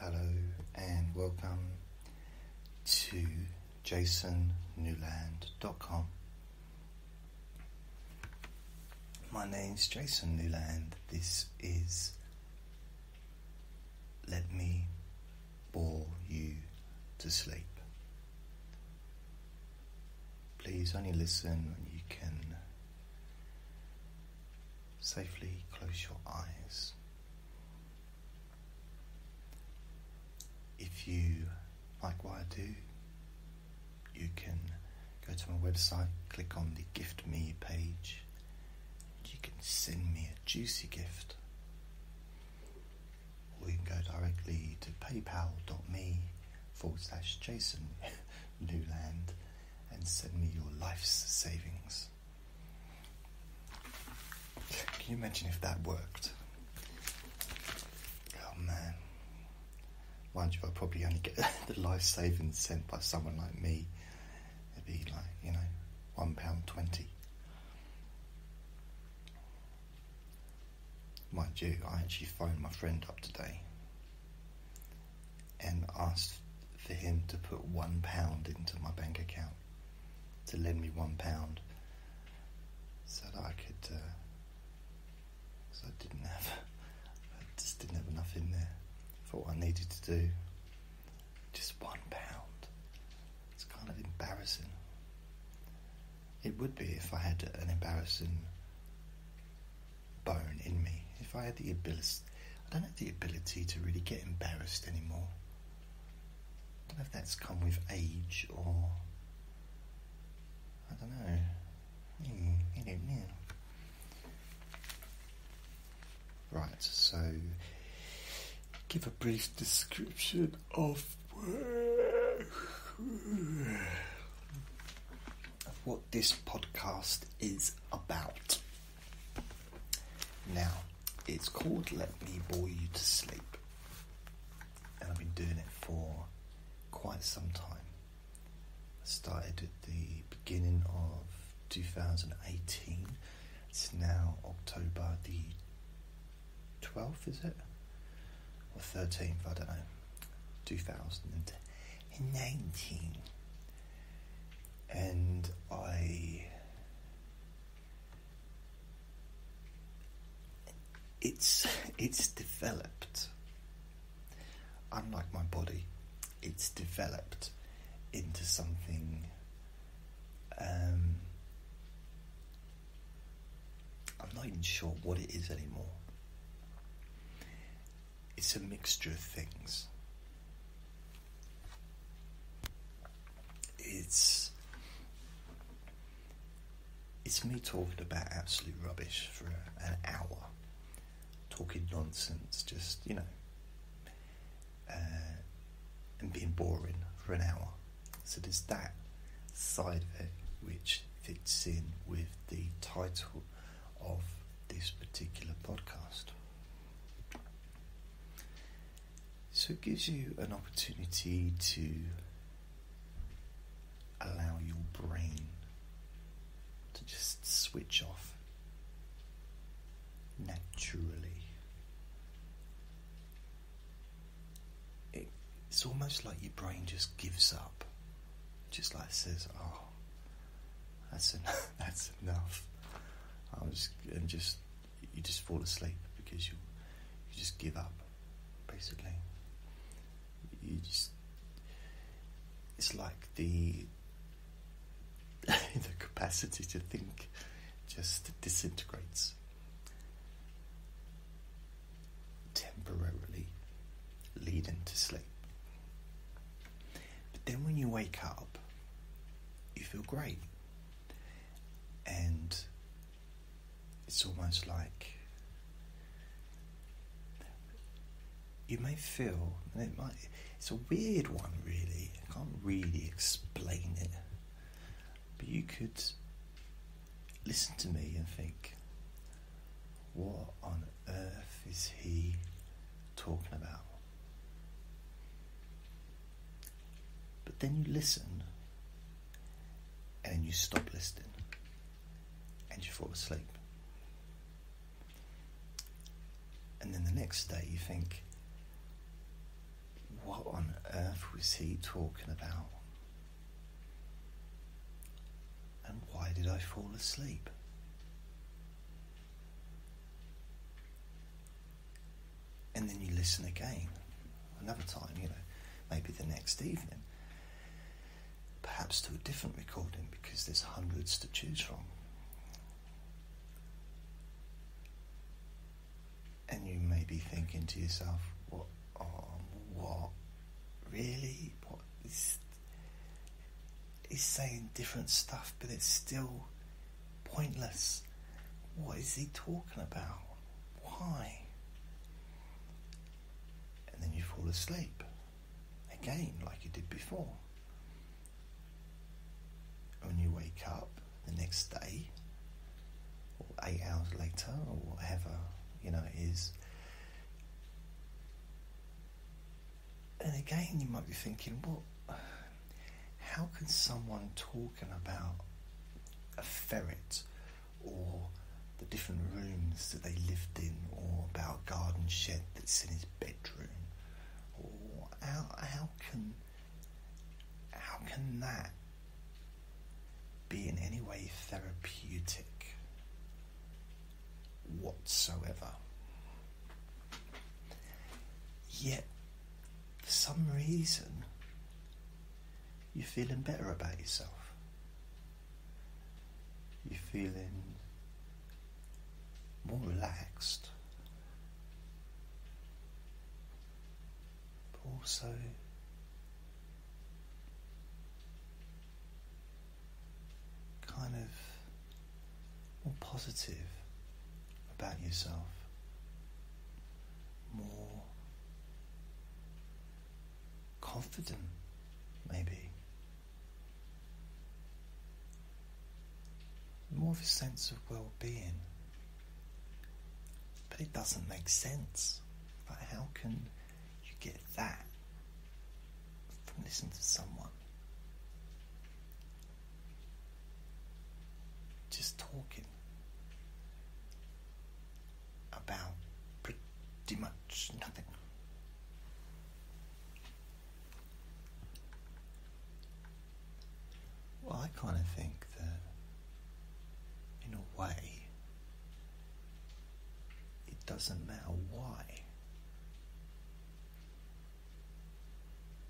Hello and welcome to jasonnewland.com. My name's Jason Newland. This is Let Me Bore You to Sleep. Please only listen when you can safely close your eyes. If you like what I do, you can go to my website, click on the Gift Me page, you can send me a juicy gift. Or you can go directly to paypal.me forward slash Jason Newland and send me your life's savings. Can you imagine if that worked? Oh man. Mind you, I probably only get the life savings sent by someone like me. It'd be like, you know, one pound twenty. Mind you, I actually phoned my friend up today and asked for him to put one pound into my bank account to lend me one pound so that I could uh, I didn't have I just didn't have enough in there for what I needed to do just one pound it's kind of embarrassing it would be if I had an embarrassing bone in me if I had the ability I don't have the ability to really get embarrassed anymore. I don't know if that's come with age or, I don't know. Hmm, right, so give a brief description of what this podcast is about. Now, it's called Let Me Bore You to Sleep, and I've been doing it for quite some time. I started at the beginning of 2018, it's now October the 12th, is it? Or 13th, I don't know. 2019 and I. It's it's developed. Unlike my body, it's developed into something. Um, I'm not even sure what it is anymore. It's a mixture of things. It's it's me talking about absolute rubbish for an hour, talking nonsense, just you know, uh, and being boring for an hour. So there's that side of it which fits in with the title of this particular podcast. So it gives you an opportunity to allow your brain to just switch off naturally. it's almost like your brain just gives up, just like says, "Oh, that's enough." that's enough. I was and just you just fall asleep because you you just give up, basically. You just it's like the the capacity to think just disintegrates temporarily leading to sleep. But then when you wake up, you feel great. And it's almost like you may feel, it might, it's a weird one really. I can't really explain it. But you could listen to me and think, what on earth is he talking about? But then you listen and then you stop listening and you fall asleep. And then the next day you think, what on earth was he talking about? And why did I fall asleep? And then you listen again another time, you know, maybe the next evening. Perhaps to a different recording because there's hundreds to choose from. And you may be thinking to yourself, what? Um, what? Really? What? It's, saying different stuff, but it's still Pointless. What is he talking about? Why? And then you fall asleep. Again, like you did before. When you wake up the next day, or eight hours later, or whatever, you know, it is. And again, you might be thinking, what? how can someone talking about a ferret or the different rooms that they lived in or about a garden shed that's in his bedroom or how, how can how can that be in any way therapeutic whatsoever yet for some reason, you're feeling better about yourself. You're feeling more relaxed. But also, kind of more positive about yourself more confident, maybe. More of a sense of well being. But it doesn't make sense. Like, how can you get that from listening to someone? Just talking about pretty much nothing. Well, I kind of think that, in a way, it doesn't matter why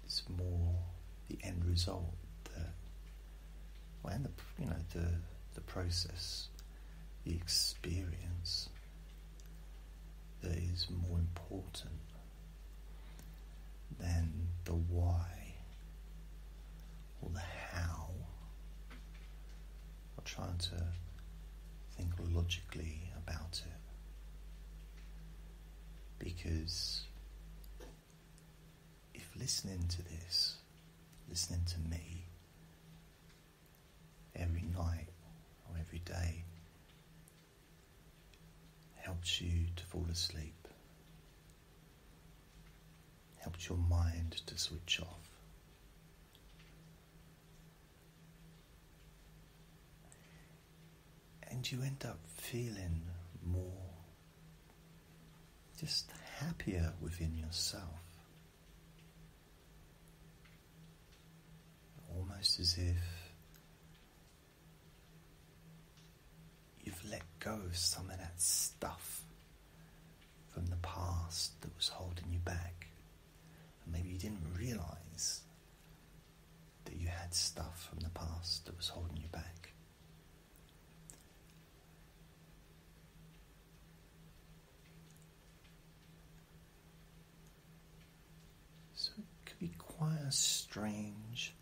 it's more the end result that, and the you know the the process, the experience that is more important than the why or the how. Or trying to think logically about it because if listening to this, listening to me, every night or every day helps you to fall asleep, helps your mind to switch off and you end up feeling more just happier within yourself. Almost as if you've let go of some of that stuff from the past that was holding you back. maybe you didn't realize that you had stuff from the past that was holding you back. So it could be quite a strange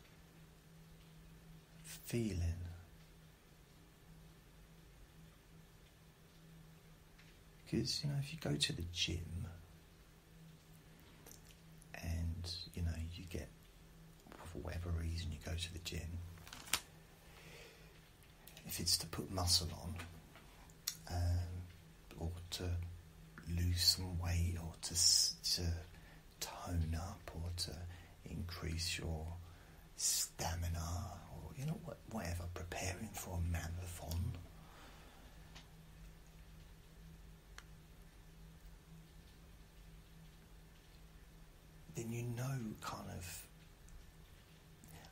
feeling. Because, you know, if you go to the gym, and you know, you get, for whatever reason, you go to the gym. If it's to put muscle on, um, or to lose some weight, or to to tone up, or to increase your stamina, or you know, whatever, preparing for a marathon then you know kind of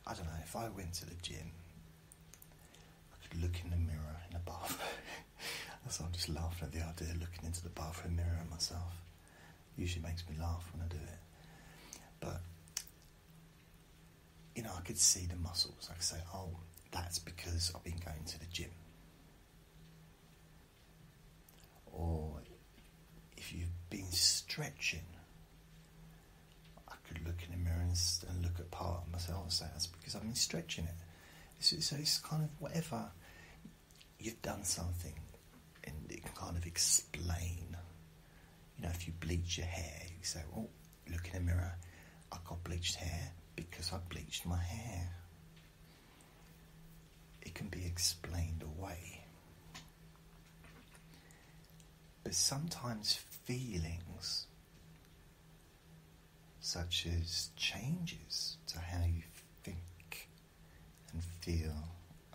I don't know, if I went to the gym, I could look in the mirror in the bathroom. That's I'm just laughing at the idea of looking into the bathroom mirror at myself. Usually makes me laugh when I do it. But you know, I could see the muscles. I could say, oh, that's because I've been going to the gym. Or if you've been stretching, I could look in the mirror and, look at part of myself and say, that's because I've been stretching it. So, so it's kind of whatever, you've done something and it can kind of explain. You know, if you bleach your hair, you say, oh, look in the mirror, I got bleached hair because I bleached my hair it can be explained away. But sometimes feelings, such as changes to how you think and feel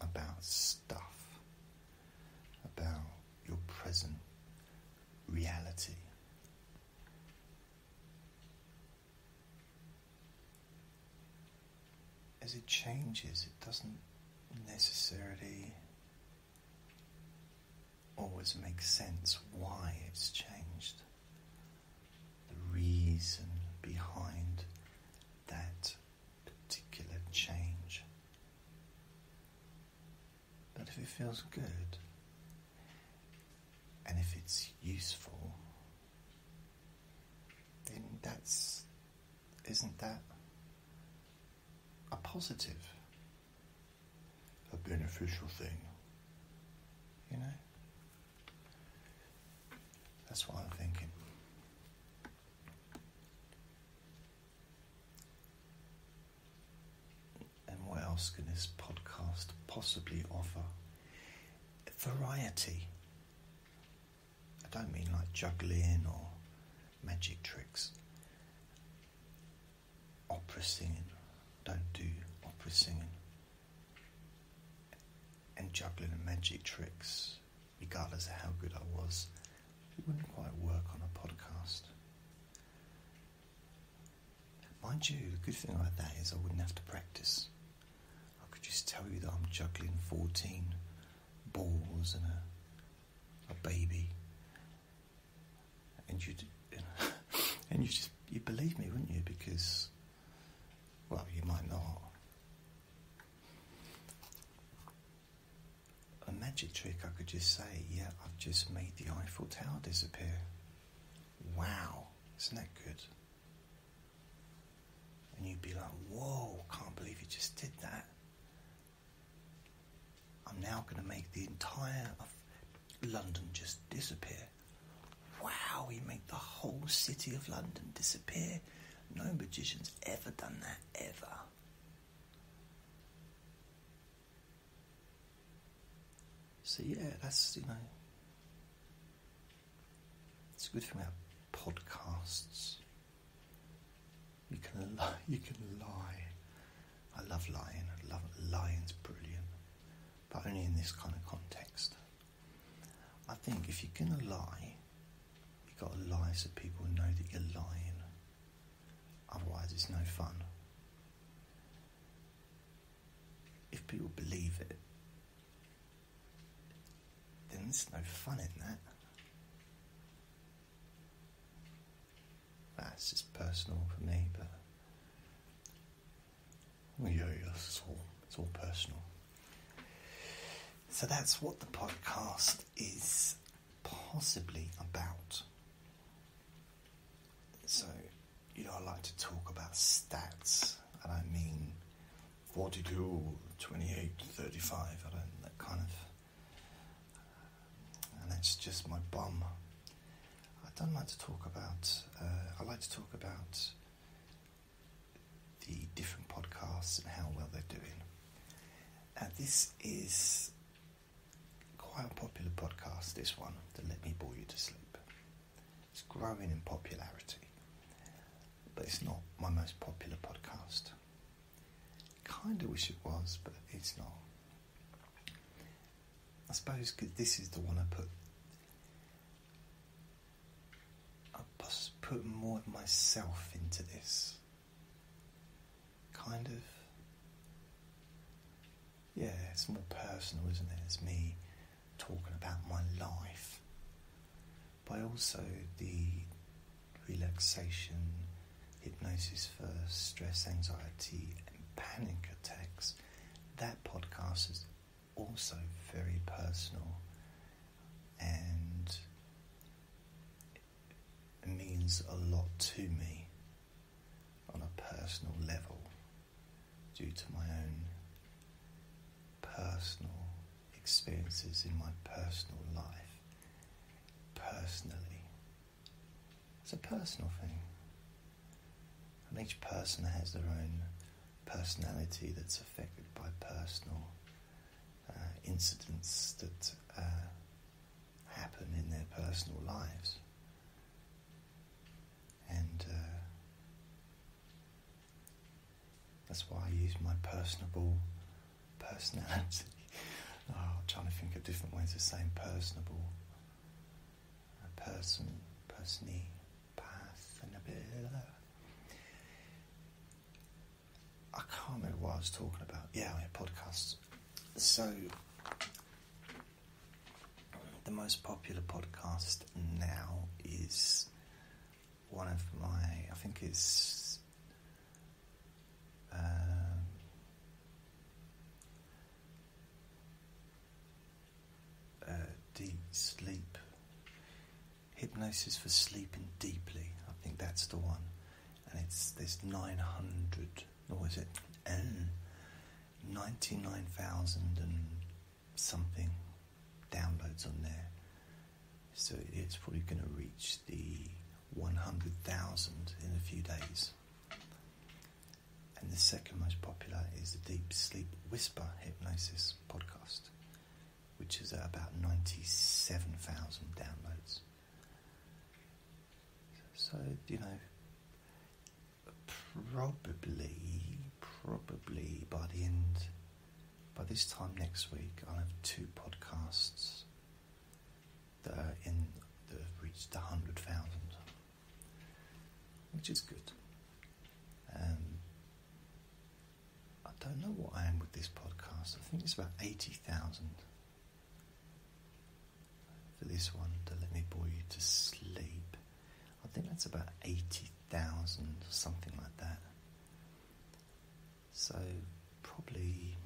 about stuff, about your present reality, as it changes, it doesn't necessarily always make sense why it's changed. The reason behind that particular change. But if it feels good and if it's useful then that's isn't that a positive, a beneficial thing? You know? That's what I'm thinking. And what else can this podcast possibly offer variety. I don't mean like juggling or magic tricks. Opera singing. Don't do opera singing. And juggling and magic tricks, regardless of how good I was, it wouldn't quite work on a podcast. Mind you, the good thing about that is I wouldn't have to practice. I could just tell you that I'm juggling 14 balls and a, a baby. And you and you just, you'd believe me, wouldn't you? Because, well, you might not. A magic trick, I could just say, yeah, I've just made the Eiffel Tower disappear. Wow, isn't that good? And you'd be like, whoa, can't believe you just did that. I'm now going to make the entire of London just disappear. Wow, he made the whole city of London disappear. No magician's ever done that, ever. So yeah, that's you know it's good thing about podcasts. You can you can lie. I love lying. I love lying's brilliant, but only in this kind of context. I think if you're gonna lie, you have gotta lie so people know that you're lying. Otherwise, it's no fun. If people believe it, then there's no fun in that. That's just personal for me, but well, oh, yeah, yeah, it's all it's all personal. So that's what the podcast is possibly about. So, you know, I like to talk about stats, and I mean 42, 28, 35, around that kind of. And that's just my bum. I don't like to talk about, uh, I like to talk about the different podcasts and how well they're doing. Uh, this is quite a popular podcast, this one, the Let Me Bore You to Sleep it's growing in popularity, but it's not my most popular podcast. Kind of wish it was, but it's not. I suppose cause this is the one I put. I put more of myself into this. Kind of. Yeah, it's more personal, isn't it? It's me talking about my life, but also the relaxation, hypnosis for stress, anxiety, and panic attacks. That podcast is also very personal and means a lot to me on a personal level due to my own personal experiences in my personal life personally. It's a personal thing. And each person has their own personality that's affected by personal uh, incidents that uh, happen in their personal lives. And uh, that's why I use my personable personality. Oh, I'm trying to think of different ways of saying personable. A person, personally, path, and a bit. I can't remember what I was talking about. Yeah, podcasts. So, the most popular podcast now is one of my, I think it's um, uh, deep sleep, hypnosis for sleeping deeply. I think that's the one, and it's this nine hundred. Or is it? Mm. Ninety-nine thousand and something downloads on there. So it's probably going to reach the 100,000 in a few days. And the second most popular is the Deep Sleep Whisper Hypnosis podcast, which is at about 97,000 downloads. So, you know, probably, probably by the end by this time next week, I'll have two podcasts that are in that have reached hundred thousand, which is good. Um, I don't know what I am with this podcast. I think it's about eighty thousand for this one to let me bore you to sleep. I think that's about eighty thousand, something like that. So, probably,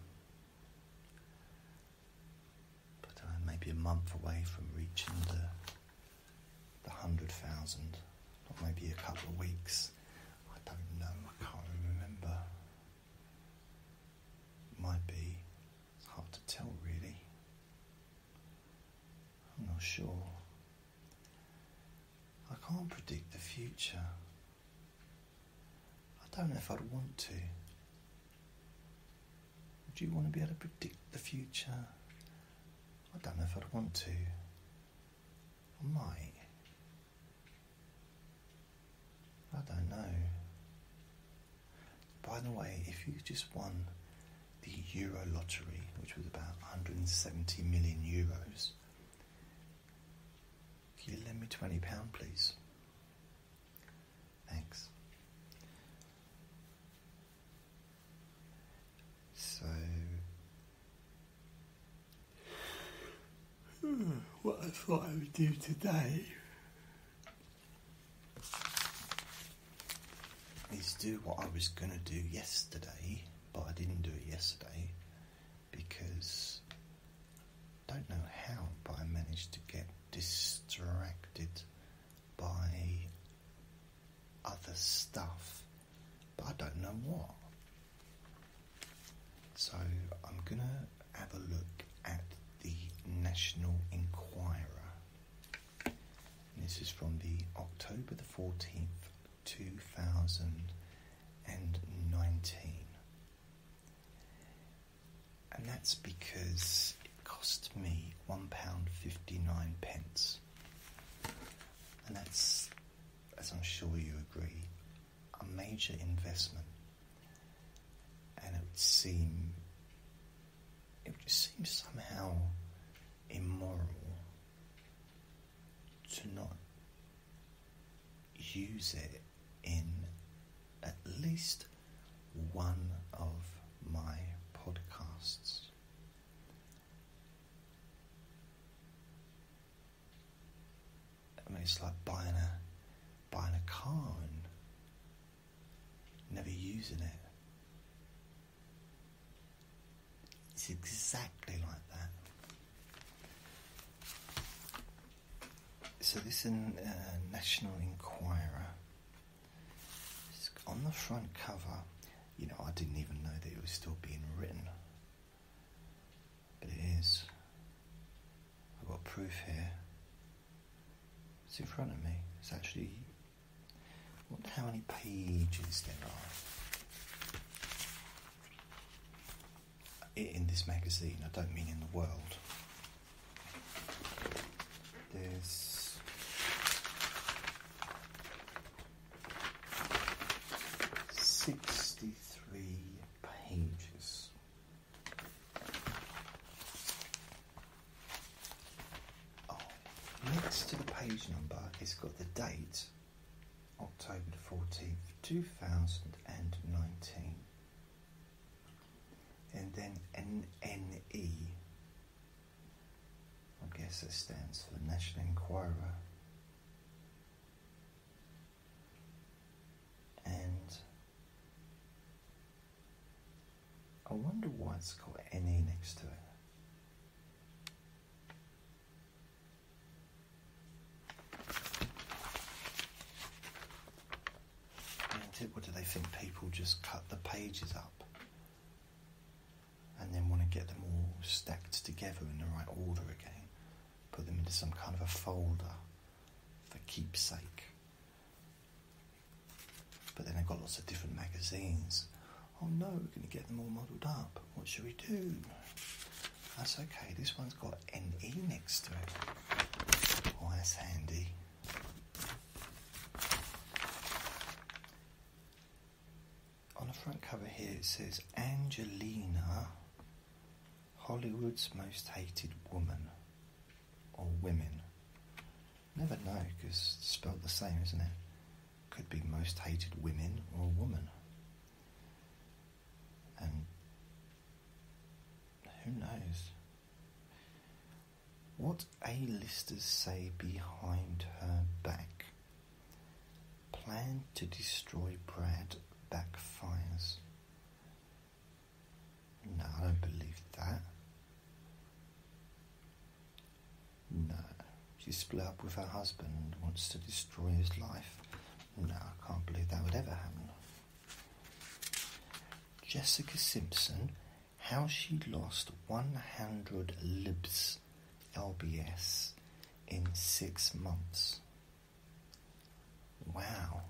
maybe a month away from reaching the the hundred thousand, or maybe a couple of weeks. I don't know. I can't remember. Might be. It's hard to tell, really. I'm not sure. I can't predict the future. I don't know if I'd want to. Would you want to be able to predict the future? I don't know if I'd want to. I might. I don't know. By the way, if you just won the Euro lottery, which was about 170 million euros, can you lend me £20, please? Thanks. So, what I thought I would do today is do what I was going to do yesterday but I didn't do it yesterday because I don't know how, but I managed to get distracted by other stuff, but I don't know what. So I'm gonna have a look at the National Enquirer. this is from the October the 14th, 2019. And that's because it cost me £1.59 pence. And that's, as I'm sure you agree, a major investment. And it would seem, it would just seem somehow immoral to not use it in at least one of my podcasts. I mean, it's like buying a buying a car and never using it. It's exactly like that. So this is uh, National Enquirer. on the front cover, you know, I didn't even know that it was still being written, but it is. I've got proof here. It's in front of me. It's actually. How many pages there are? in this magazine, I don't mean in the world. There's sixty three pages. Oh, next to the page number, it's got the date October 14th, 2019. And then NNE, I guess it stands for National Enquirer. And I wonder why it's got NE next to it. What do they think? People just cut the pages up and then want to get them all stacked together in the right order again. Put them into some kind of a folder for keepsake. But then I've got lots of different magazines. Oh no, we're going to get them all muddled up. What should we do? That's okay, this one's got NE next to it. Oh, that's handy. On the front cover here it says Angelina, Hollywood's most hated woman or women. Never know because it's spelled the same, isn't it? Could be most hated women or woman. And who knows? What A-listers say behind her back. Plan to destroy Brad backfires. No, I don't believe that. No. She split up with her husband and wants to destroy his life. No, I can't believe that would ever happen. Jessica Simpson, how she lost 100 libs, LBS, in six months. Wow.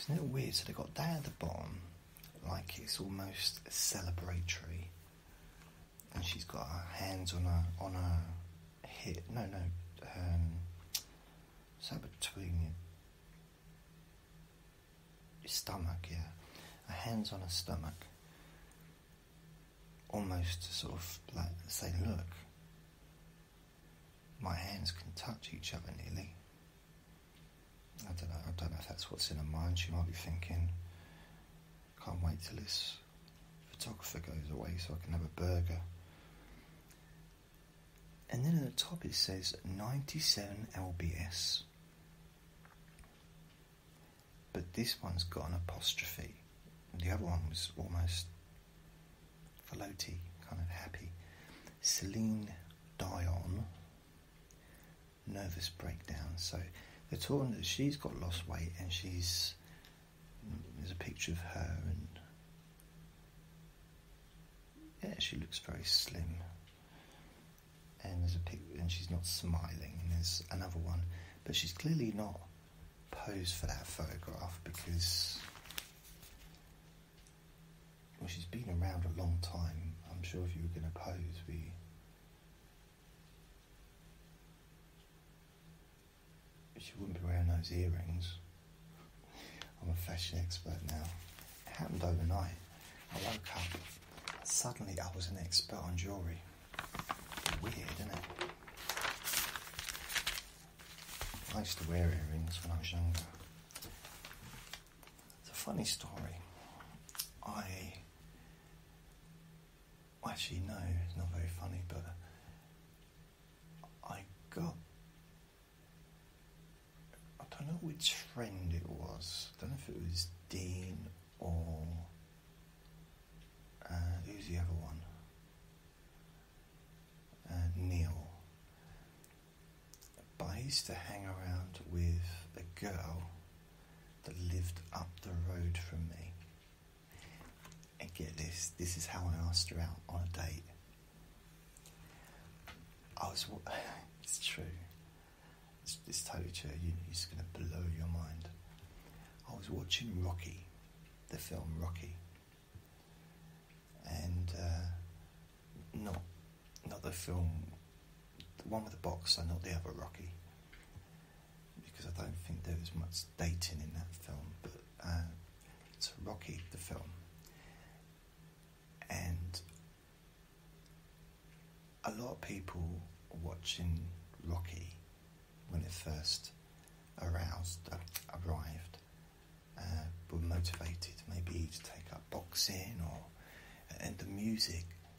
Isn't it weird? So they got down at the bottom, like it's almost celebratory and she's got her hands on her on her hip. No, no, um, so between your, stomach, yeah. Her hands on her stomach, almost sort of like say, look, my hands can touch each other nearly. I don't know. I don't know if that's what's in her mind. She might be thinking, "Can't wait till this photographer goes away so I can have a burger." And then at the top it says 97 LBS, but this one's got an apostrophe. The other one was almost floaty, kind of happy. Celine Dion nervous breakdown. So they're talking that she's got lost weight and she's there's a picture of her and yeah, she looks very slim. And there's a pic and she's not smiling. And there's another one, but she's clearly not posed for that photograph because well, she's been around a long time. I'm sure if you were going to pose, we she wouldn't be wearing those earrings. I'm a fashion expert now. It happened overnight. I woke up. Suddenly, I was an expert on jewellery. Weird, isn't it? I used to wear earrings when I was younger. It's a funny story. I well, actually, no, it's not very funny, but I got. I don't know which friend it was. I don't know if it was Dean or. Uh, who's the other one? Uh, Neil. But I used to hang around with a girl that lived up the road from me. And get this, this is how I asked her out on a date. I was, it's true. This it's totally true. You, it's going to blow your mind. I was watching Rocky, the film Rocky, and uh, not not the film, the one with the and not the other Rocky because I don't think there was much dating in that film, but uh, it's Rocky, the film. And a lot of people watching Rocky when it first aroused, uh, arrived, uh, were motivated maybe to take up boxing or and the music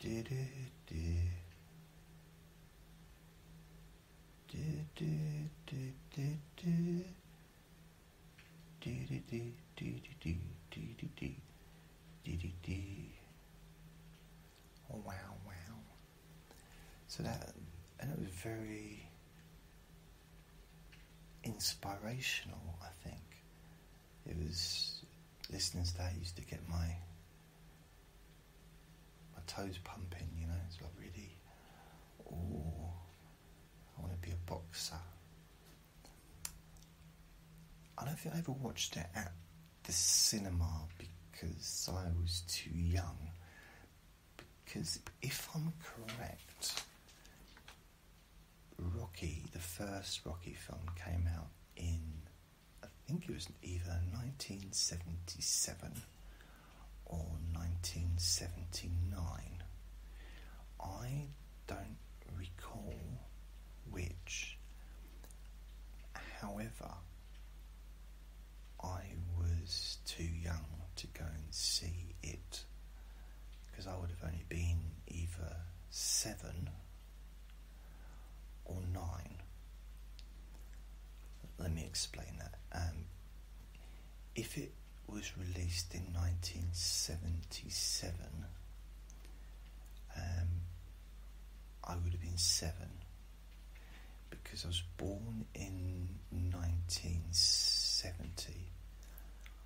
Did it, did. Oh wow, wow. So that and it was very inspirational, I think. It was listening to that used to get my my toes pumping, you know. It's like really, oh, I want to be a boxer. I don't think I ever watched it at the cinema because I was too young. Because if I'm correct, Rocky, the first Rocky film, came out in, I think it was either 1977 or 1979. I don't recall which. However, I was too young to go and see it because I would have only been either seven or nine. Let me explain that. Um, if it was released in 1977, um, I would have been seven because I was born in 1970.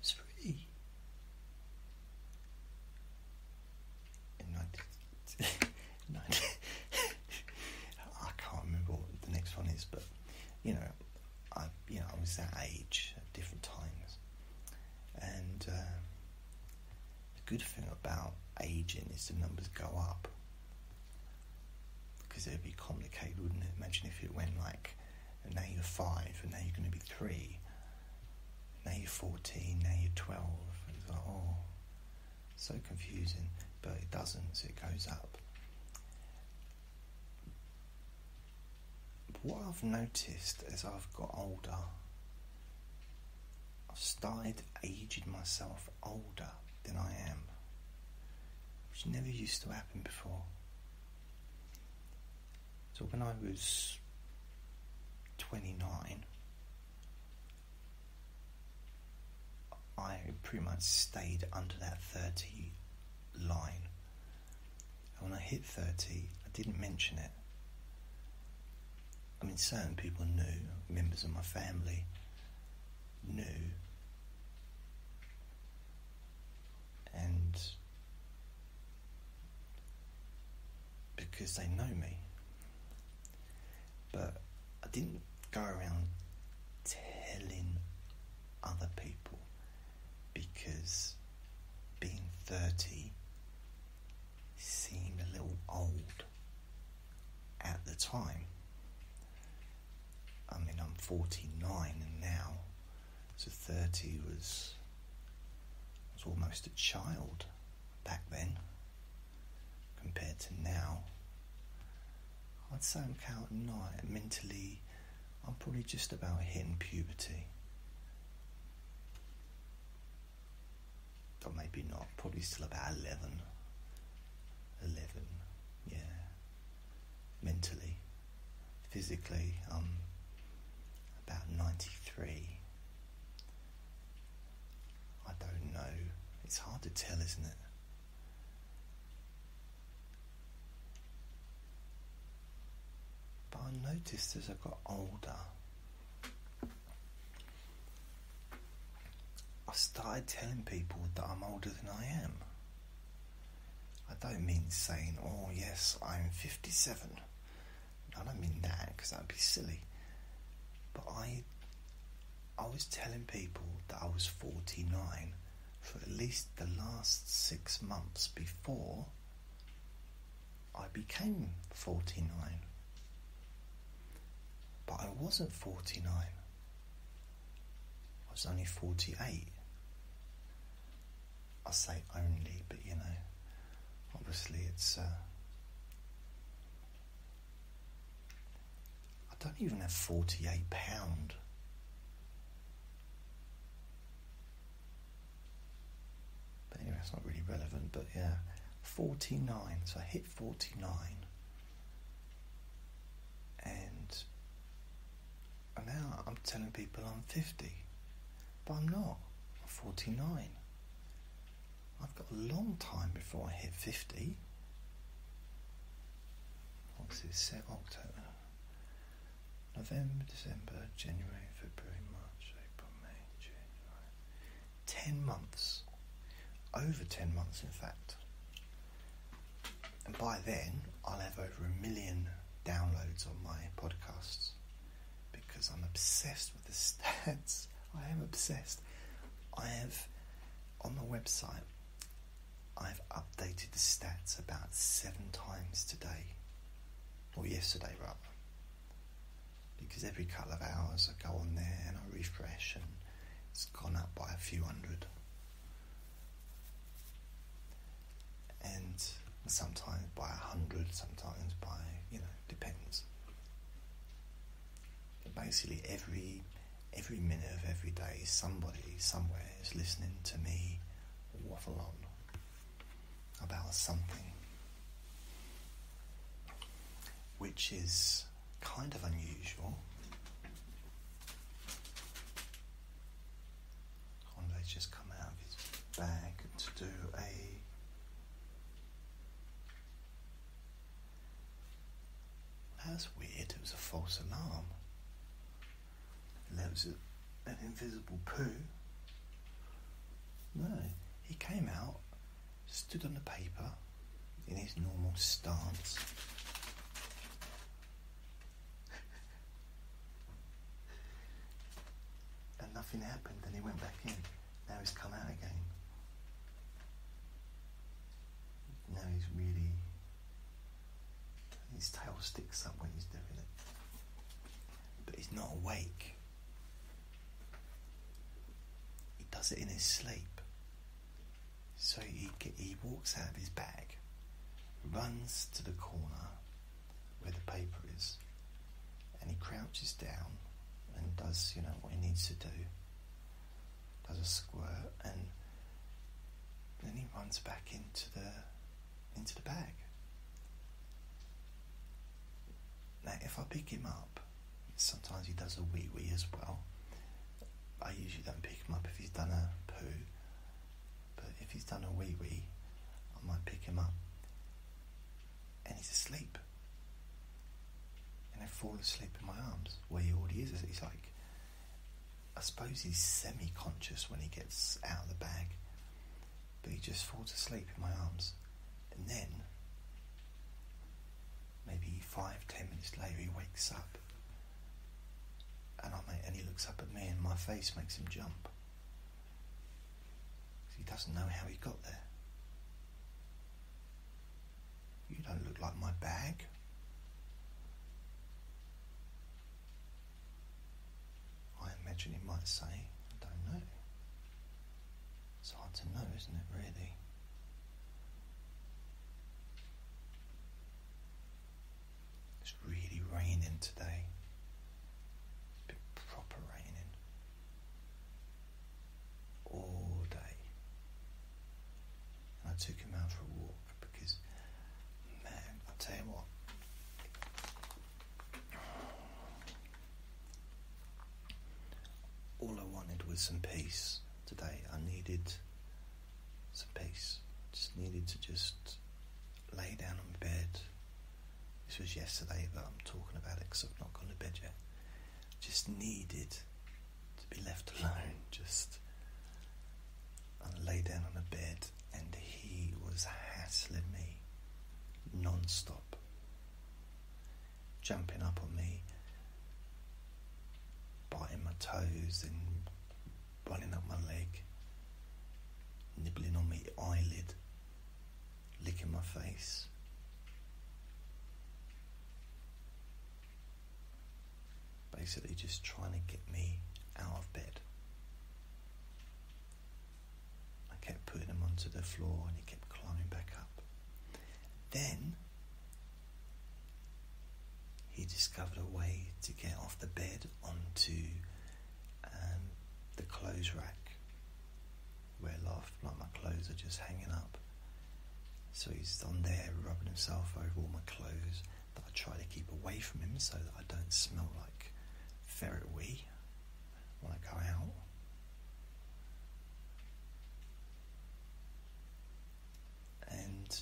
was free. In 19, 19 I can't remember what the next one is, but you know, I you I was that age at different times, and uh, the good thing about aging is the numbers go up because it would be complicated, wouldn't it? Imagine if it went like now you're five and now you're going to be three now you're 14, now you're 12. it's like, oh, so confusing. But it doesn't, it goes up. what I've noticed as I've got older, I've started aging myself older than I am, which never used to happen before. So when I was 29, I pretty much stayed under that 30 line. And when I hit 30, I didn't mention it. I mean, certain people knew, members of my family knew. And because they know me. But I didn't go around telling other people because being 30 seemed a little old at the time. I mean, I'm 49 now, so 30 was I was almost a child back then compared to now. I'd say I'm counting. night mentally. I'm probably just about hitting puberty. Or maybe not, probably still about 11. 11, yeah. Mentally. Physically, I'm about 93. I don't know. It's hard to tell, isn't it? But I noticed as I got older, I started telling people that I'm older than I am. I don't mean saying, oh yes, I'm 57. I don't mean that because that'd be silly. But I, I was telling people that I was 49 for at least the last six months before I became 49. But I wasn't 49. I was only 48. I say only, but you know, obviously it's. Uh, I don't even have forty-eight pound. But anyway, it's not really relevant. But yeah, forty-nine. So I hit forty-nine, and and now I'm telling people I'm fifty, but I'm not. I'm forty-nine. I've got a long time before I hit 50. What's this set? October, November, December, January, February, March, April, May, June, July. 10 months. Over 10 months, in fact. And by then, I'll have over a million downloads on my podcasts because I'm obsessed with the stats. I am obsessed. I have on the website, I've updated the stats about seven times today, or yesterday rather, because every couple of hours I go on there and I refresh, and it's gone up by a few hundred. And sometimes by a hundred, sometimes by, you know, depends. But basically, every every minute of every day, somebody somewhere is listening to me waffle on about something, which is kind of unusual. Conde's just come out of his bag to do a that's weird, it was a false alarm. there was an invisible poo. No, he came out, stood on the paper in his normal stance. and nothing happened, Then he went back in. Now he's come out again. Now he's really. His tail sticks up when he's doing it. But he's not awake. He does it in his sleep. So he, he walks out of his bag, runs to the corner where the paper is, and he crouches down and does, you know, what he needs to do. Does a squirt and then he runs back into the into the bag. Now if I pick him up, sometimes he does a wee wee as well. I usually don't pick him up if he's done a poo, but if he's done a wee wee, I might pick him up and he's asleep. And I fall asleep in my arms, where he already is. He's like, I suppose he's semi conscious when he gets out of the bag, but he just falls asleep in my arms. And then, maybe five, ten minutes later, he wakes up. And I make, and he looks up at me, and my face makes him jump. He doesn't know how he got there. You don't look like my bag. I imagine he might say, I don't know. It's hard to know, isn't it, really? It's really raining today. it proper raining all day. I took him out for a walk because, man, i tell you what, all I wanted was some peace today. I needed some peace. Just needed to just lay down on bed, this was yesterday, but I'm talking about it because I've not gone to bed yet. Just needed to be left alone, just and lay down on a bed, and he was hassling me non-stop, jumping up on me, biting my toes and running up my leg, nibbling on my eyelid licking my face. Basically, just trying to get me out of bed. I kept putting him onto the floor and he kept climbing back up. Then he discovered a way to get off the bed onto um, the clothes rack wear loft, like my clothes are just hanging up. So he's on there rubbing himself over all my clothes that I try to keep away from him so that I don't smell like ferret wee when I go out. And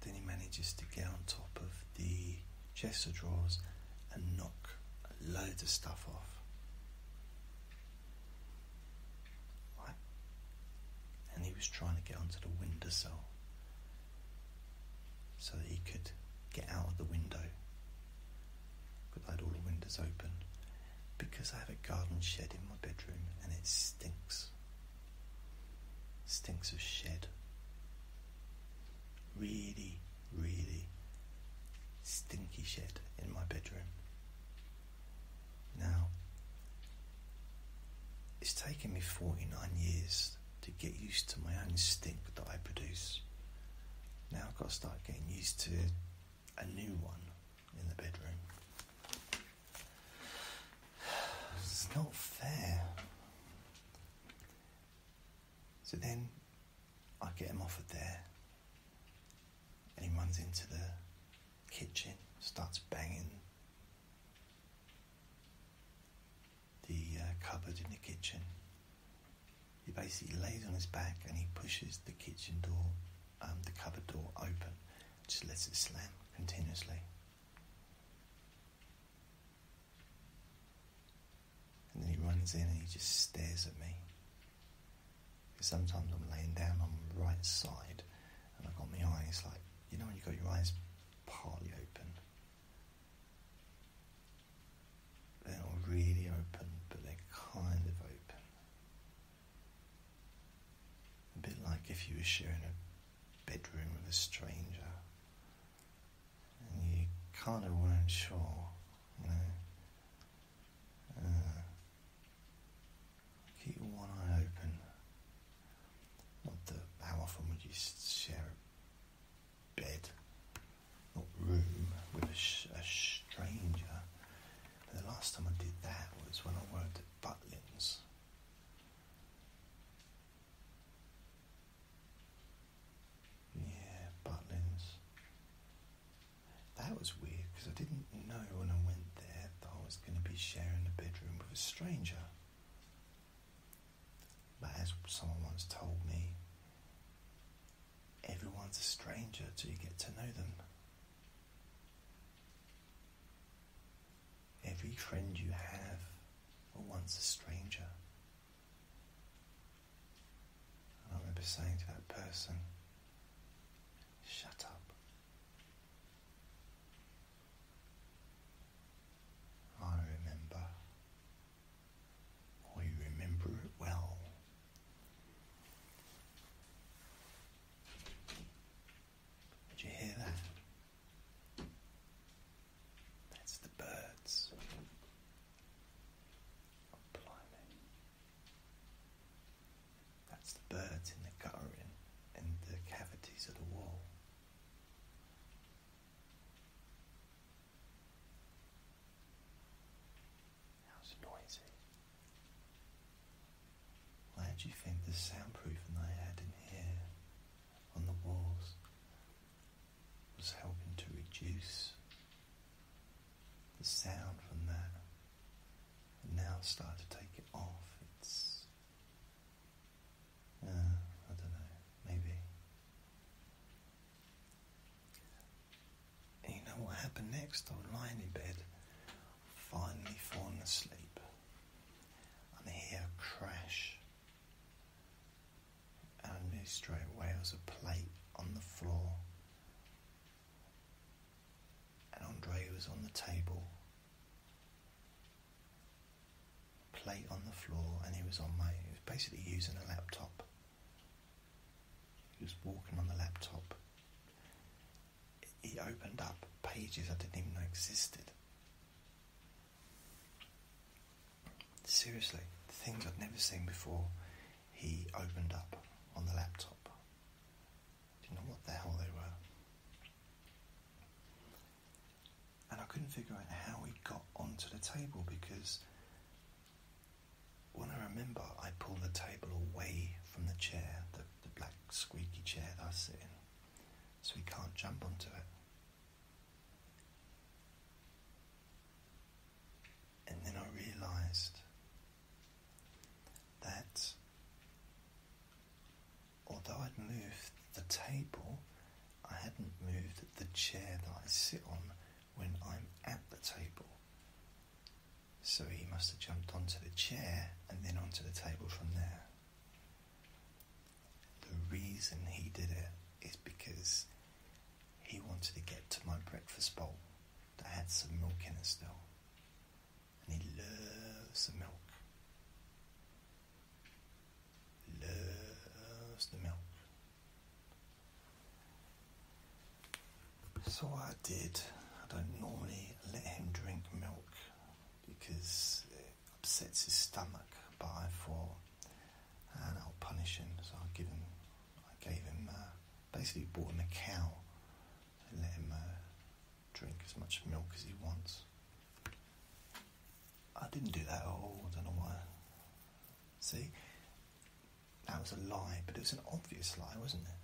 then he manages to get on top of the chest of drawers and knock loads of stuff off. And he was trying to get onto the windowsill so that he could get out of the window. But I had all the windows open because I have a garden shed in my bedroom and it stinks. Stinks of shed. Really really stinky shit in my bedroom. Now, it's taken me 49 years to get used to my own stink that I produce. Now I've got to start getting used to a new one in the bedroom. It's not fair. So then I get him off of there and he runs into the kitchen, starts banging the uh, cupboard in the kitchen. He basically lays on his back and he pushes the kitchen door, um, the cupboard door open, just lets it slam continuously. And then he runs in and he just stares at me. Sometimes I'm laying down on the right side and I've got my eyes like, you know, when you've got your eyes partly open. They're not really open, but they're kind of open. A bit like if you were sharing a bedroom with a stranger and you kind of weren't sure, uh, keep one eye open. Not that how often would you share bed or room with a, stranger? the last time I did that was when I worked at Butlins. Yeah, Butlins. That was weird because I didn't know when I went there that I was going to be sharing a bedroom with a stranger. But as someone once told me, everyone's a stranger till you get to know them. Every friend you have was once a stranger. I remember saying to that person, shut up. I remember, I remember it well. Did you hear that? That's the birds. Oh, blimey. That's the birds in the guttering and the cavities of the wall. How's noisy. Where do you think the soundproofing I had in here on the walls was helping to reduce the sound from that. now start to take it off. It's. Uh, I don't know, maybe. you know what happened next? I was lying in bed, finally falling asleep, and I hear a crash. And I straight away it a plate on the floor and Andre was on the table, plate on the floor, and he was on my. He was basically using a laptop. He was walking on the laptop. He opened up pages I didn't even know existed. Seriously, things I'd never seen before he opened up on the laptop. Didn't know what the hell they were. And I couldn't figure out how he got onto the table because when I remember I pulled the table away from the chair, the, the black squeaky chair that I sit in, so he can't jump onto it. And then I realized that although I'd moved the table, I hadn't moved the chair that I sit on when I'm at the table. So he must have jumped onto the chair and then onto the table from there. The reason he did it is because he wanted to get to my breakfast bowl that had some milk in it still. And he loves the milk. Loves the milk. So I did, I don't normally let him drink milk because it upsets his stomach, but I thought, and ah, I'll punish him, so I'll give him I gave him uh, basically bought him a cow and let him uh, drink as much milk as he wants. I didn't do that at all. I don't know why. See, that was a lie, but it was an obvious lie, wasn't it?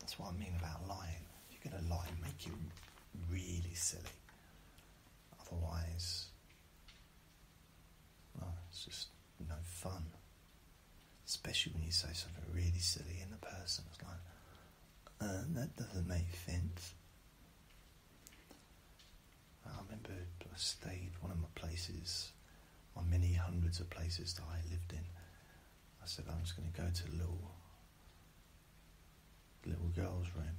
That's what I mean about lying. If you're going to lie, make it really silly. Otherwise, no, it's just no fun. Especially when you say something really silly and the person's like, uh, that doesn't make sense. I remember I stayed one of my places, or many hundreds of places that I lived in. I said I'm just going to go to the little little girl's room,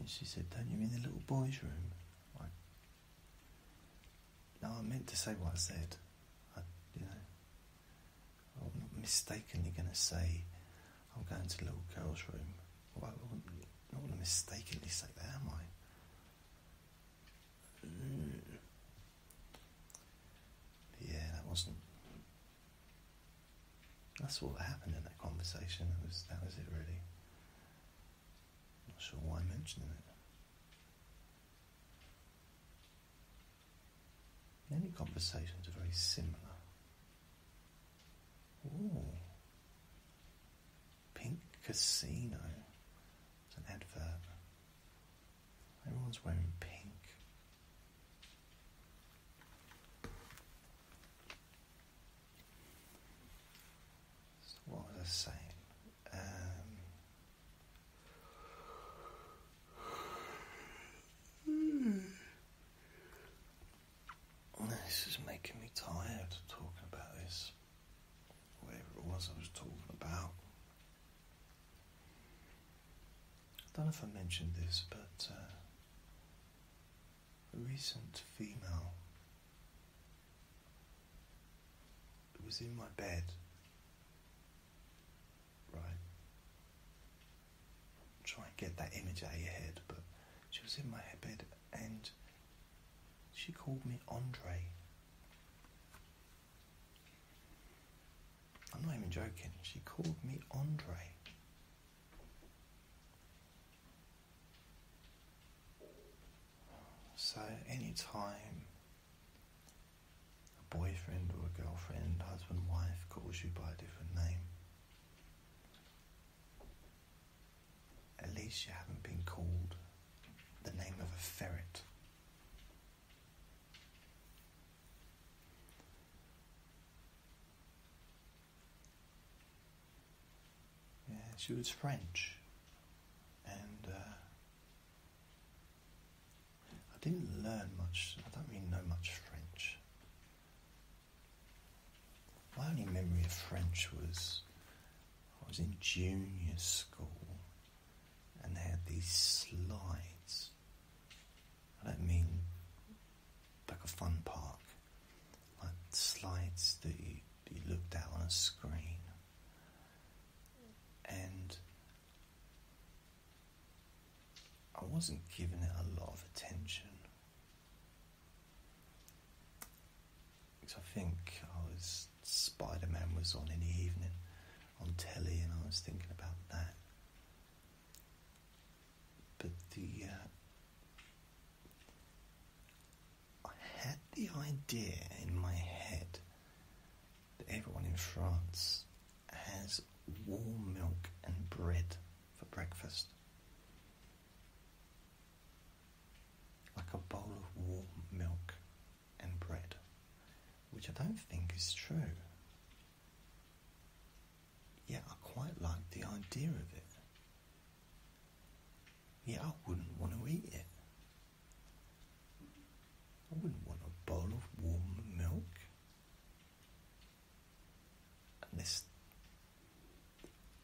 and she said, "Don't you mean the little boy's room?" No, I meant to say what I said. I, you know, I'm not mistakenly going to say I'm going to the little girl's room. I wouldn't, not to mistakenly say that, am I? Yeah, that wasn't. That's all that happened in that conversation. That was that was it really. I'm not sure why I'm mentioning it. Many conversations are very similar. Ooh. Pink Casino. It's an advert. Everyone's wearing pink. So what was I um, this is making me tired talking about this. Whatever it was I was talking about. I don't know if I mentioned this, but uh, a recent female it was in my bed. Right. Try and get that image out of your head, but she was in my bed and she called me Andre. I'm not even joking. She called me Andre. So, any time a boyfriend or a girlfriend, husband, wife calls you by a different name, at least you haven't been called the name of a ferret. Yeah, she was French, and uh, I didn't learn much, I don't mean know much French. My only memory of French was I was in junior school and they had these slides. I don't mean like a fun park, like slides that you, you looked at on a screen and I wasn't giving it a lot of attention. Because I think I was Spider Man was on in the evening on telly, and I was thinking about that. But the uh, I had the idea in my head that everyone in France has warm milk and bread for breakfast. Like a bowl of warm milk and bread, which I don't think is true. Yet I quite like the idea of it. Yet I wouldn't want to eat it. I wouldn't want a bowl of warm milk unless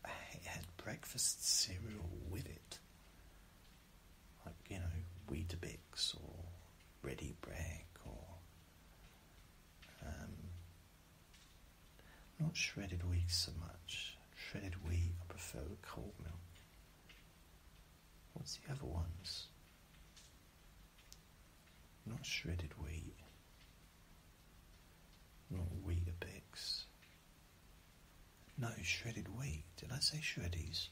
it had breakfast cereal with it, like you know, Weetabix or Ready Break or um, not shredded wheat so much. Shredded wheat, I prefer cold milk. What's the other ones? Not shredded wheat. Not wheat Weetabix. No, shredded wheat. Did I say shredys?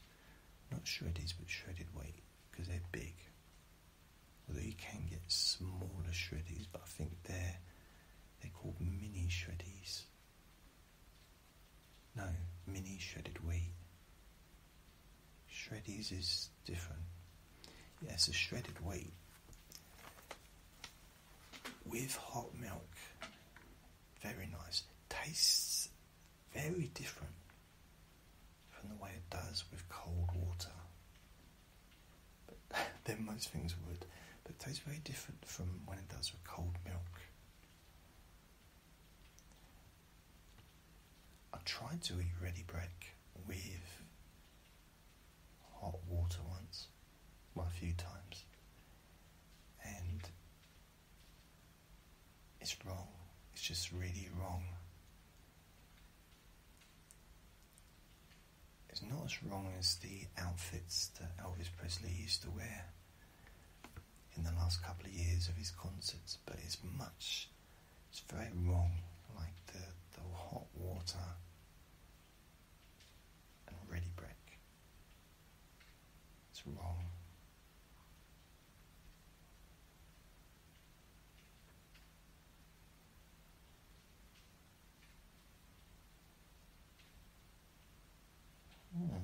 Not shredys, but shredded wheat, because they're big. Although you can get smaller shredys, but I think they're they're called mini shredys. No, mini shredded wheat. Shreddies is different. Yes, a shredded wheat with hot milk. Very nice. Tastes very different from the way it does with cold water. But then most things would. But tastes very different from when it does with cold milk. I tried to eat ready break with hot water once, well, a few times, and it's wrong. It's just really wrong. It's not as wrong as the outfits that Elvis Presley used to wear in the last couple of years of his concerts, but it's much, it's very wrong, like the, the hot water and ready break. It's wrong. Hmm.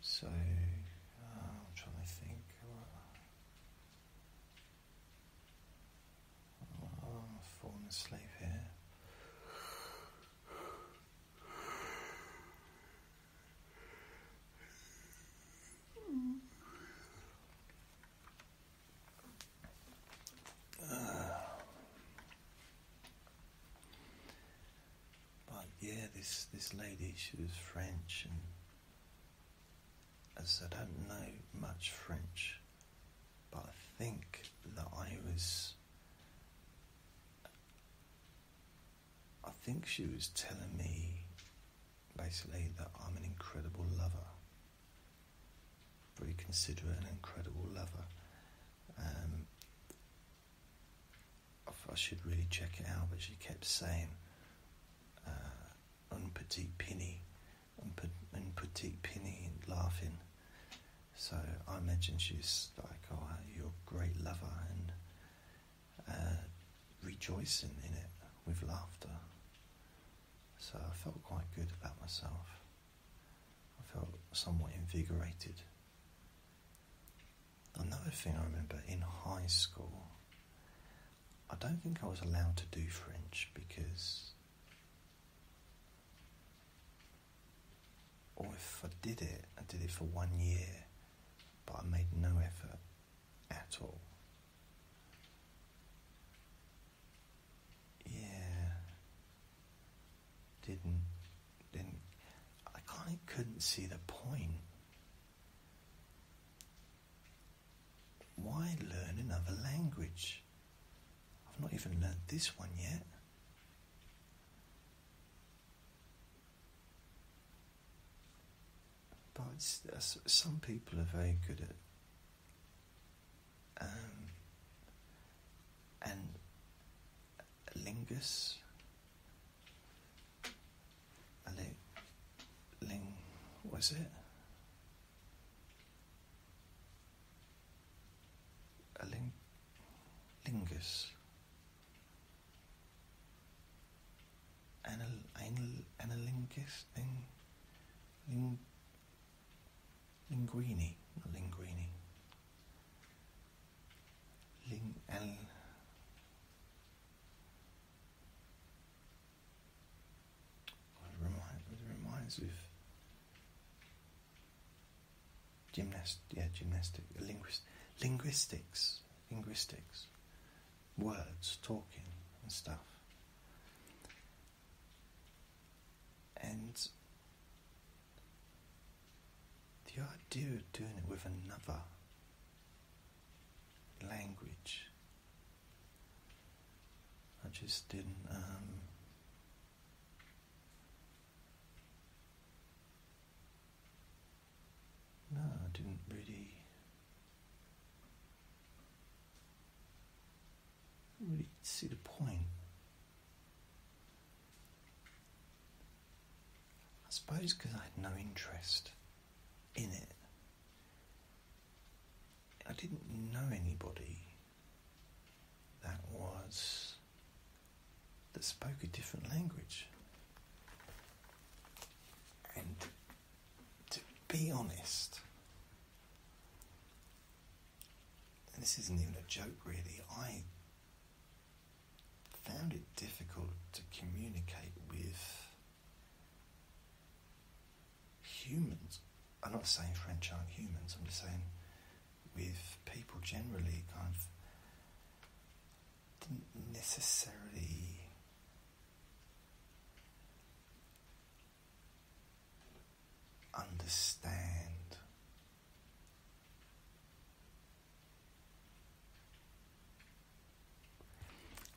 So uh, I'm trying to think. Oh, uh, I'm falling asleep here. But yeah, this, this lady, she was French, and as I don't know much French, but I think that I was. I think she was telling me basically that I'm an incredible lover. Very considerate and incredible lover. Um, I should really check it out, but she kept saying, uh, un petit penny, un, pe- petit penny, laughing. So I imagine she's like, oh, uh, you're a great lover, and uh, rejoicing in it with laughter. So I felt quite good about myself. I felt somewhat invigorated. Another thing I remember in high school, I don't think I was allowed to do French because, or if I did it, I did it for one year, but I made no effort at all. Yeah, didn't didn't I kind of couldn't see the point. Why learn another language? I've not even learned this one yet. But some people are very good at um, and lingus ling, ling was it a ling, lingus anal, anal, analingus thing ling, linguini not linguini Ling what reminds reminds me gymnast yeah gymnastic linguistics linguistics words talking and stuff and the idea of doing it with another language, I just didn't. Um, no, I didn't really. Really see the point. I suppose because I had no interest in it. I didn't know anybody that was that spoke a different language. And to be honest, this isn't even a joke really, I found it difficult to communicate with humans. I'm not saying French aren't humans, I'm just saying with people generally kind of didn't necessarily understand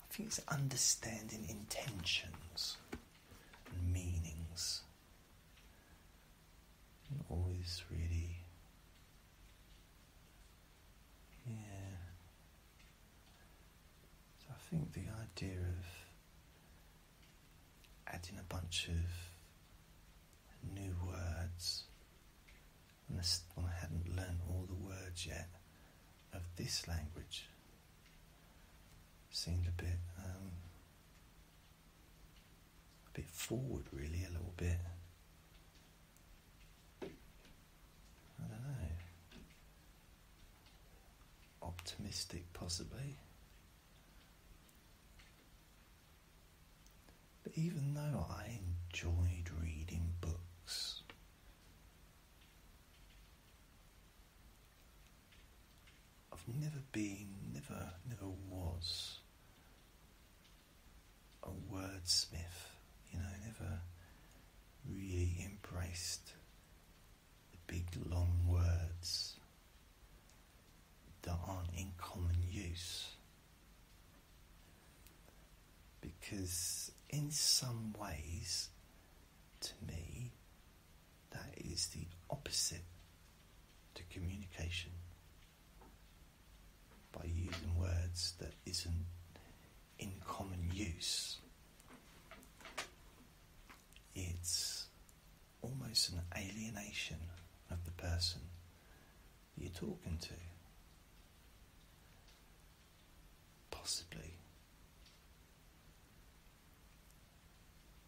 I think it's understanding intentions and meanings. always really, yeah. So I think the idea of adding a bunch of new words unless I hadn't learned all the words yet of this language, seemed a bit um, a bit forward, really, a little bit. I don't know. Optimistic, possibly. But even though I enjoyed reading books, I've never been, never, never was a wordsmith, you know, never really embraced the big long words that aren't in common use. Because, in some ways, to me, that is the opposite to communication by using words that isn't in common use. It's almost an alienation of the person you're talking to. Possibly.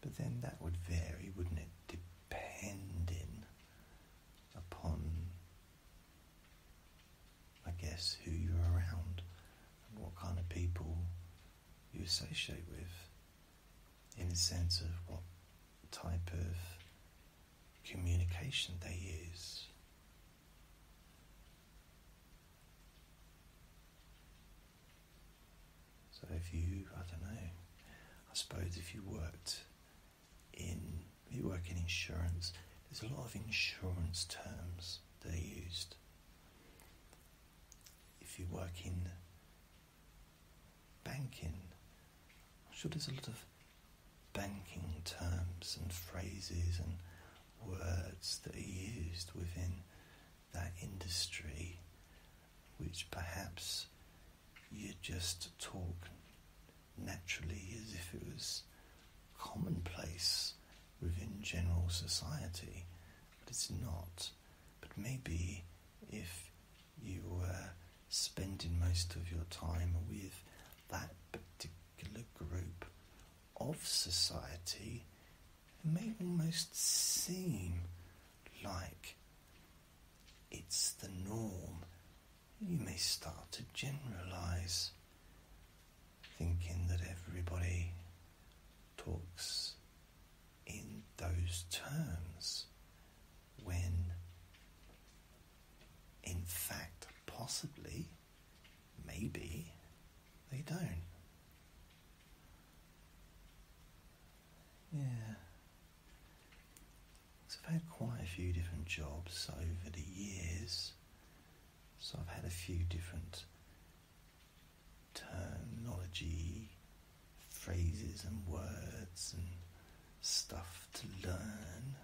But then that would vary, wouldn't it? Depending upon, I guess, who you're around and what kind of people you associate with, in a sense of what type of communication they use. So if you, I don't know, I suppose if you worked in, you work in insurance, there's a lot of insurance terms they used. If you work in banking, I'm sure there's a lot of banking terms and phrases and words that are used within that industry, which perhaps you just talk naturally as if it was commonplace within general society, but it's not. But maybe if you were spending most of your time with that particular group of society may almost seem like it's the norm. You may start to generalize, thinking that everybody talks in those terms when, in fact, possibly, maybe, they don't. Yeah. So I've had quite a few different jobs over the years. So I've had a few different terminology, phrases and words and stuff to learn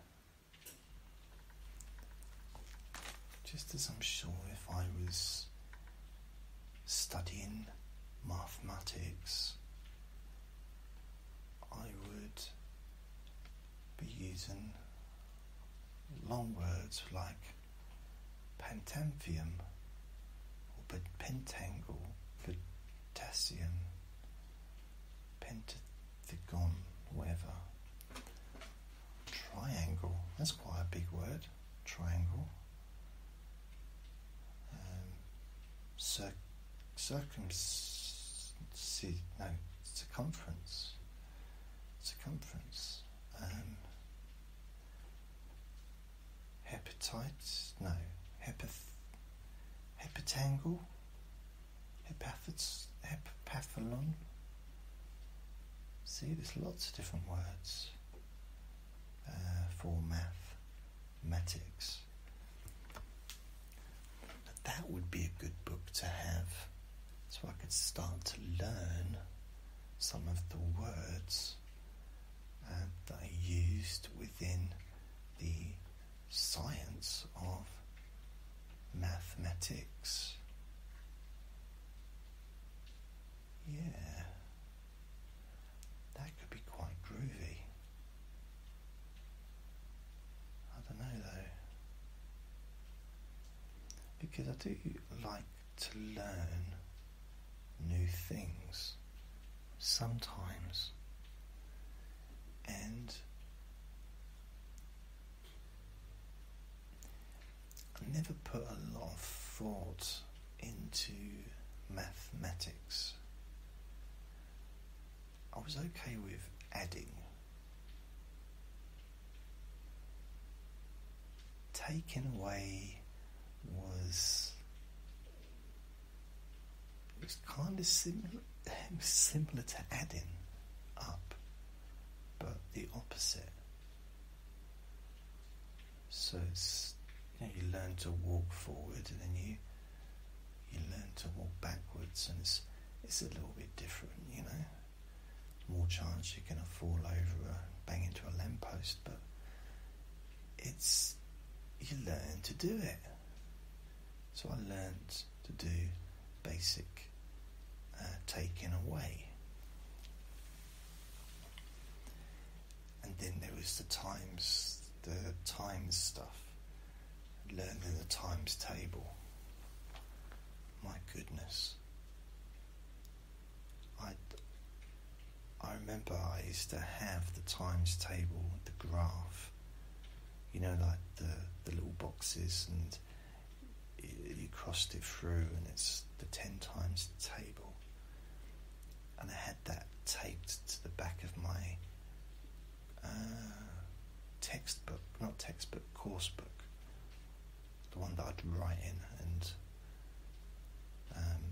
just as I'm sure if I was studying mathematics, I would be using long words like pentemphium or pentangle, potassium, pentagon, whatever. Triangle. That's quite a big word. Triangle. Um, cir- no, circumference. Circumference. Um, hepatites. No. Hepath- hepatangle. Hepathlon. See, there's lots of different words uh, for math, matics. that would be a good book to have so I could start to learn some of the words uh, that are used within the science of mathematics. Yeah, that could be quite groovy. I don't know though, because I do like to learn new things sometimes, and I never put a lot of thought into mathematics. I was okay with adding. Taken away was it's kind of similar, similar to adding up, but the opposite. So it's you learn to walk forward and then you you learn to walk backwards and it's it's a little bit different, you know. More chance you're gonna fall over or bang into a lamppost, but it's you learn to do it. So I learned to do basic uh, taking away. And then there was the times, the times stuff, learning the times table. My goodness. I, I remember I used to have the times table, the graph, you know, like the, the little boxes, and you, you crossed it through, and it's the 10 times table. And I had that taped to the back of my uh, textbook, not textbook, course book, the one that I'd write in, and um,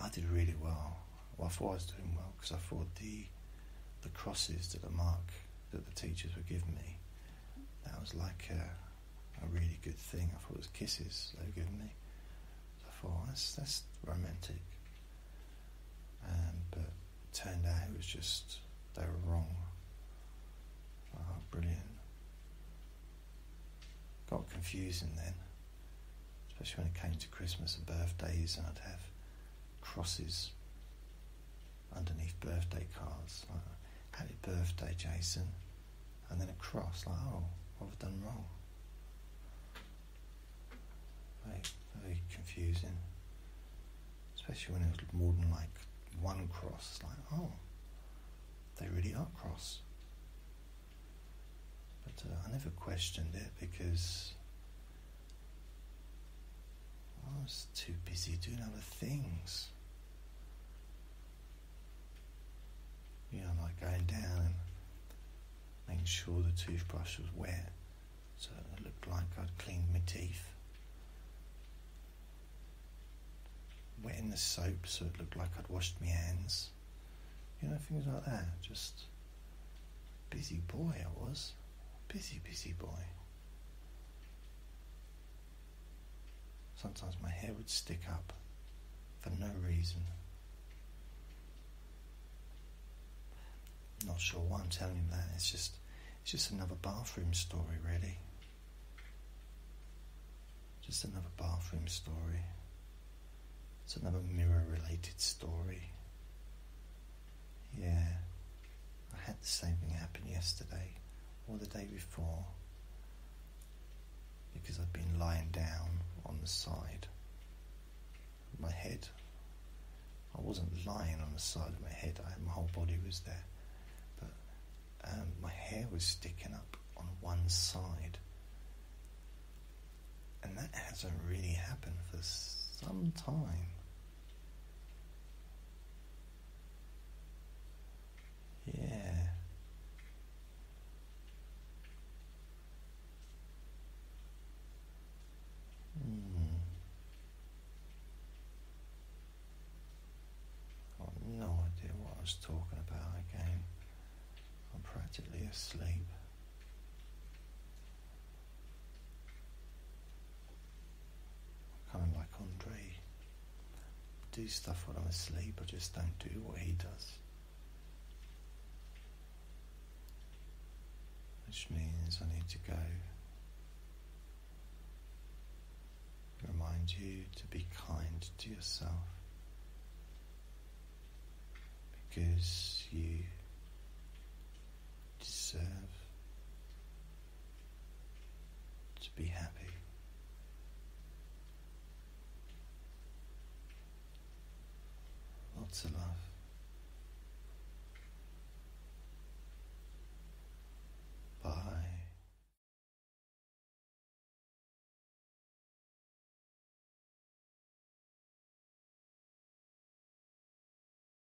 I did really Well, I thought I was doing well because I thought the the crosses that the mark that the teachers were giving me. That was like a, really good thing. I thought it was kisses they were giving me. I thought, that's, that's romantic. Um, but turned out it was just, they were wrong. Ah, brilliant. Got confusing then, especially when it came to Christmas and birthdays, and I'd have crosses underneath birthday cards. Happy birthday, Jason. And then a cross, like, oh, what have I done wrong? Very, confusing. Especially when it was more than like one cross. like, oh, they really are cross. But uh, I never questioned it because Oh, I was too busy doing other things. You know, like going down and making sure the toothbrush was wet so it looked like I'd cleaned my teeth. Wetting the soap so it looked like I'd washed my hands. You know, things like that. Just busy boy I was. Busy, busy boy. Sometimes my hair would stick up for no reason. Not sure why I'm telling you that. It's just it's just another bathroom story really. Just another bathroom story. It's another mirror related story. Yeah, I had the same thing happen yesterday or the day before because I've been lying down on the side of my head. I wasn't lying on the side of my head, my whole body was there, but um, my hair was sticking up on one side. And that hasn't really happened for some time. Yeah. Mm. Got no idea what I was talking about again. I'm practically asleep. Kind of like Andre. Do stuff while I'm asleep, I just don't do what he does. Which means I need to go. Remind you to be kind to yourself because you deserve to be happy. Lots of love. Bye.